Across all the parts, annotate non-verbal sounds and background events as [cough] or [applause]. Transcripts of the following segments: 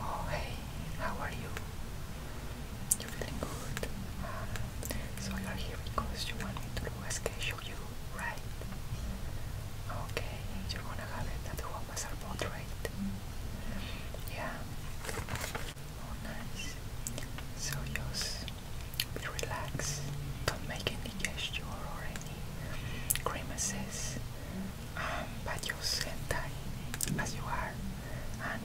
Oh hey, how are you? You feeling good? Uh, so you're here because you want me to do a sketch of you, right? Okay, you're gonna have it at as a portrait. Yeah. Oh nice. So just be relaxed. Don't make any gesture or any grimaces. Um, but just sentai as you are and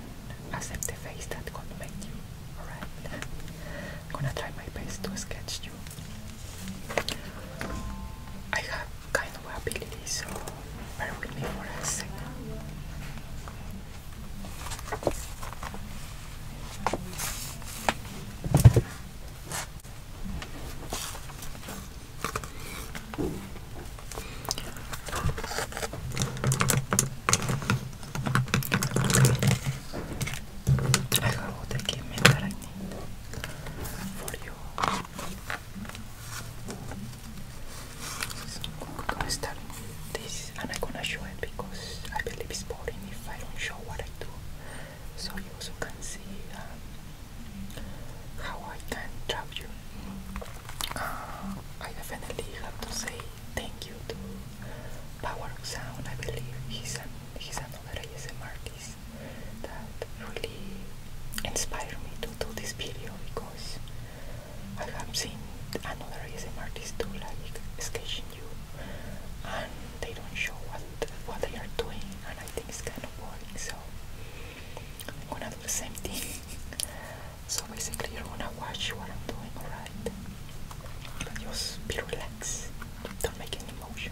accept the face that God make you. Alright? I'm gonna try my best to sketch you. I have kind of ability, so bear with me for a second. I got all the equipment that I need for you. So, I'm going to start this and I'm gonna show it because I believe it's boring if I don't show what I do. So you also can see um, how I can trap you. Uh, I definitely have to say thank you to Power Sound. I believe he's an he's another ASM artist that really inspired me to do this video because I have seen another ASM artist do like sketching you and they don't show what what they are doing and I think it's kind of boring so I'm gonna do the same thing so basically you're gonna watch what I'm doing alright but just be relaxed don't make any motion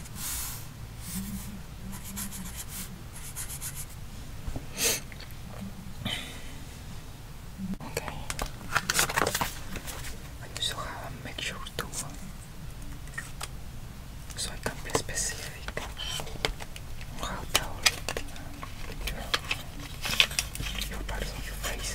Okay. I also have a mixture too, so I can be specific how tall your, your parts of your face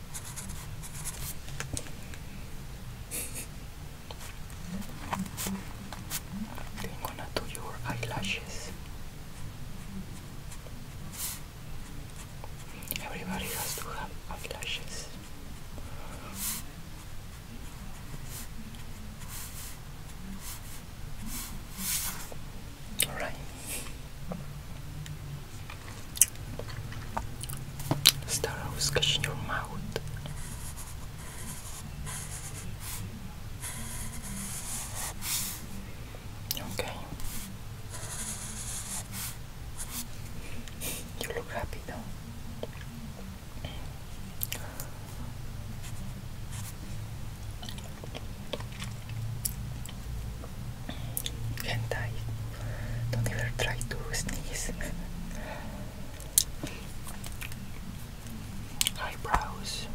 I'm gonna do your eyelashes. Everybody has to have eyelashes. All right. Start off scratching your mouth. Okay. You look happy now and I don't ever try to sneeze. Eyebrows.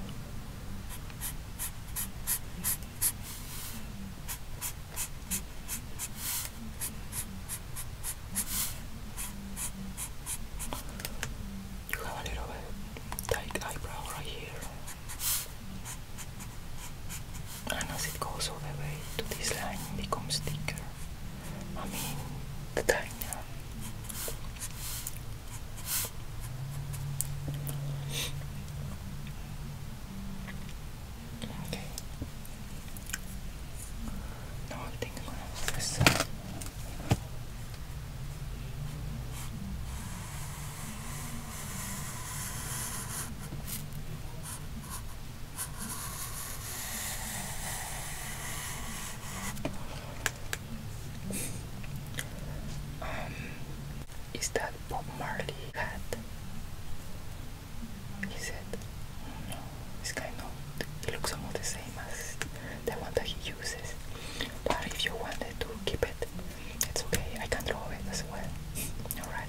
You have a little bit uh, tight eyebrow right here. And ah, as it goes all the way to this line, it becomes thicker. I mean, the diner. Okay. Now gonna have um, is that Bob Marley hat? He said, no, it's kind of, it looks almost the same as the one that he uses. But if you wanted to keep it, it's okay, I can draw it as well. Alright.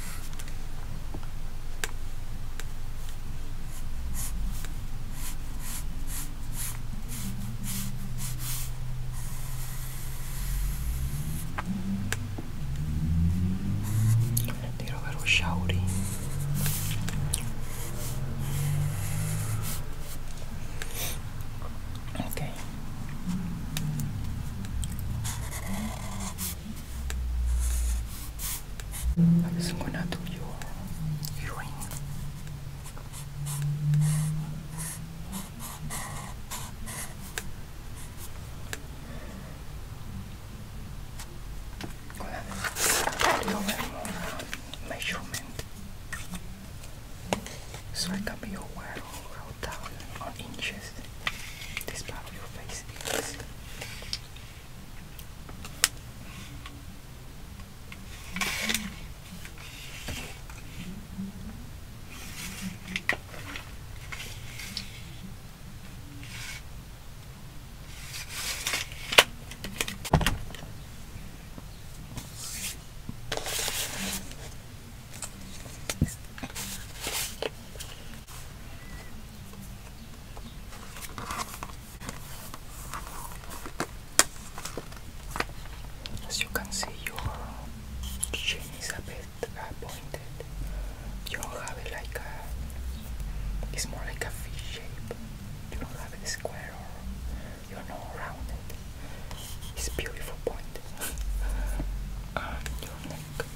Need a little shouty. Okay. I'm just gonna do your earring. Gonna do a measurement so I can be aware how down on inches this this part of your face is as you can see, your chin is a bit pointed. You don't have like a. It's more like a V shape. You don't have it square or you know rounded. It's beautiful point. [laughs] and your neck.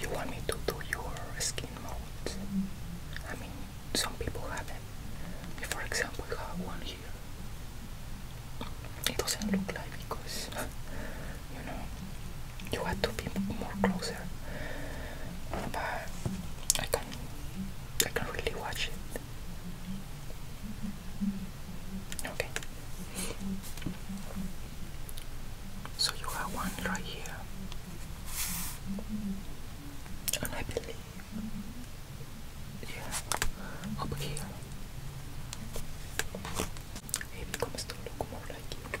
You want me to do your skin modes? I mean, some people have them. For example, you have one here. It doesn't look like because [laughs] you know you have to be more closer. But I can, I can really watch it. Okay. So you have one right here. And I believe yeah, up here. It becomes to look more like you.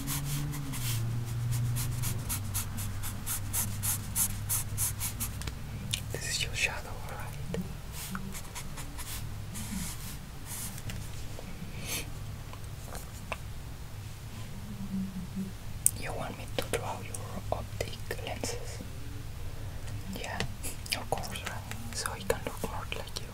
This is your shadow, alright? You want me to draw your optic lenses? Yeah, of course, right? So he can look more like you.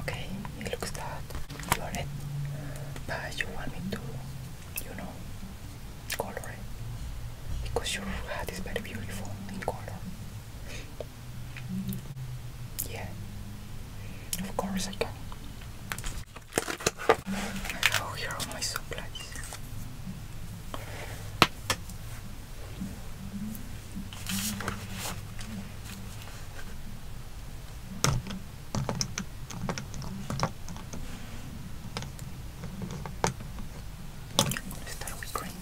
Okay, it looks that you are it, but you want me to, you know, color it because your hat is very beautiful in color. Yeah, of course I can. Oh, here are my supplies. Let's start with green.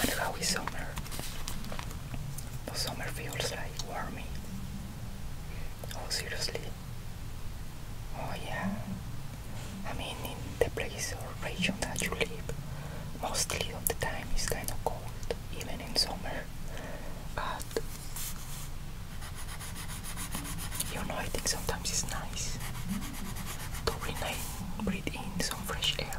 And how is summer? The summer feels like warming. Oh, seriously, Oh yeah. I mean in the place or region that you live, mostly of the time it's kind of cold, even in summer. But you know, I think sometimes it's nice to breathe in some fresh air.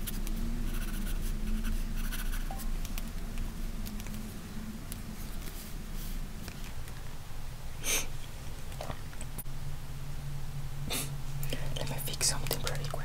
Let me fix something pretty quick.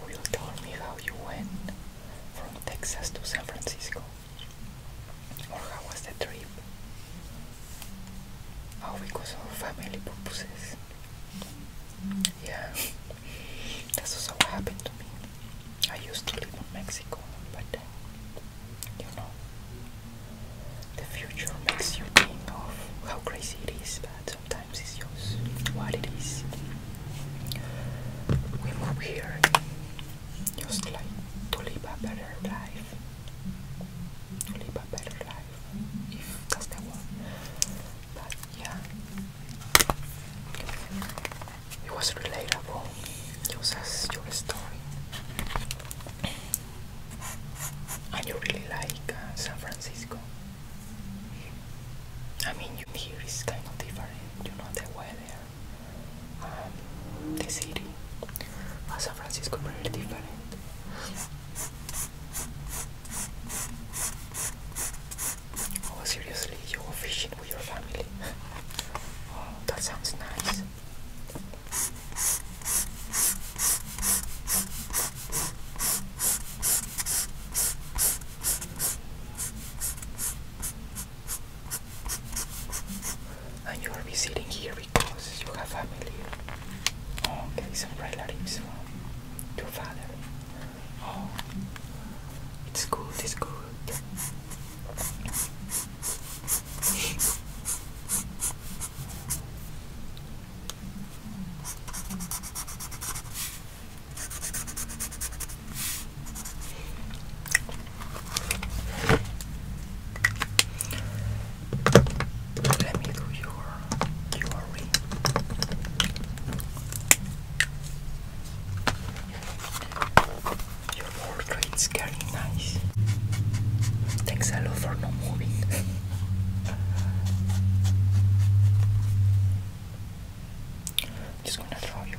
Will tell me how you went from Texas to San Francisco. Or how was the trip? Oh, because of family purposes. Yeah, that's also what happened to me. I used to live in Mexico, but you know, the future makes you think of how crazy it is, but sometimes it's yours. what it is. We move here just like to live a better life. To live a better life, if that's the word. But yeah, it was relatable, just as your story. And you really like uh, San Francisco. I mean, you here is kind of different, you know, the weather the city, but San Francisco very different. Oh, seriously, you are fishing with your family? oh, that sounds nice. And you will be sitting here because you have family. Okay, some relatives from father. Oh, it's good, it's good. Let me do your jewelry. Your portrait is very nice. Thanks a lot for not moving. [laughs] just gonna draw your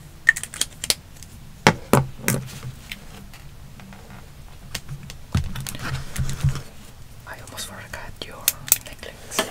I almost forgot your necklace.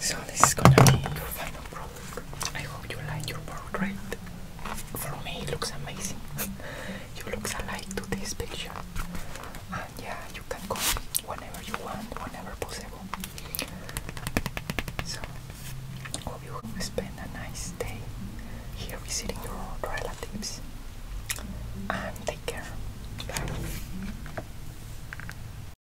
So this is gonna be your final product. I hope you like your portrait. For me, it looks amazing. [laughs] you look alike to this picture. And yeah, you can come whenever you want, whenever possible. So, hope you will spend a nice day here visiting your relatives. And take care. Bye.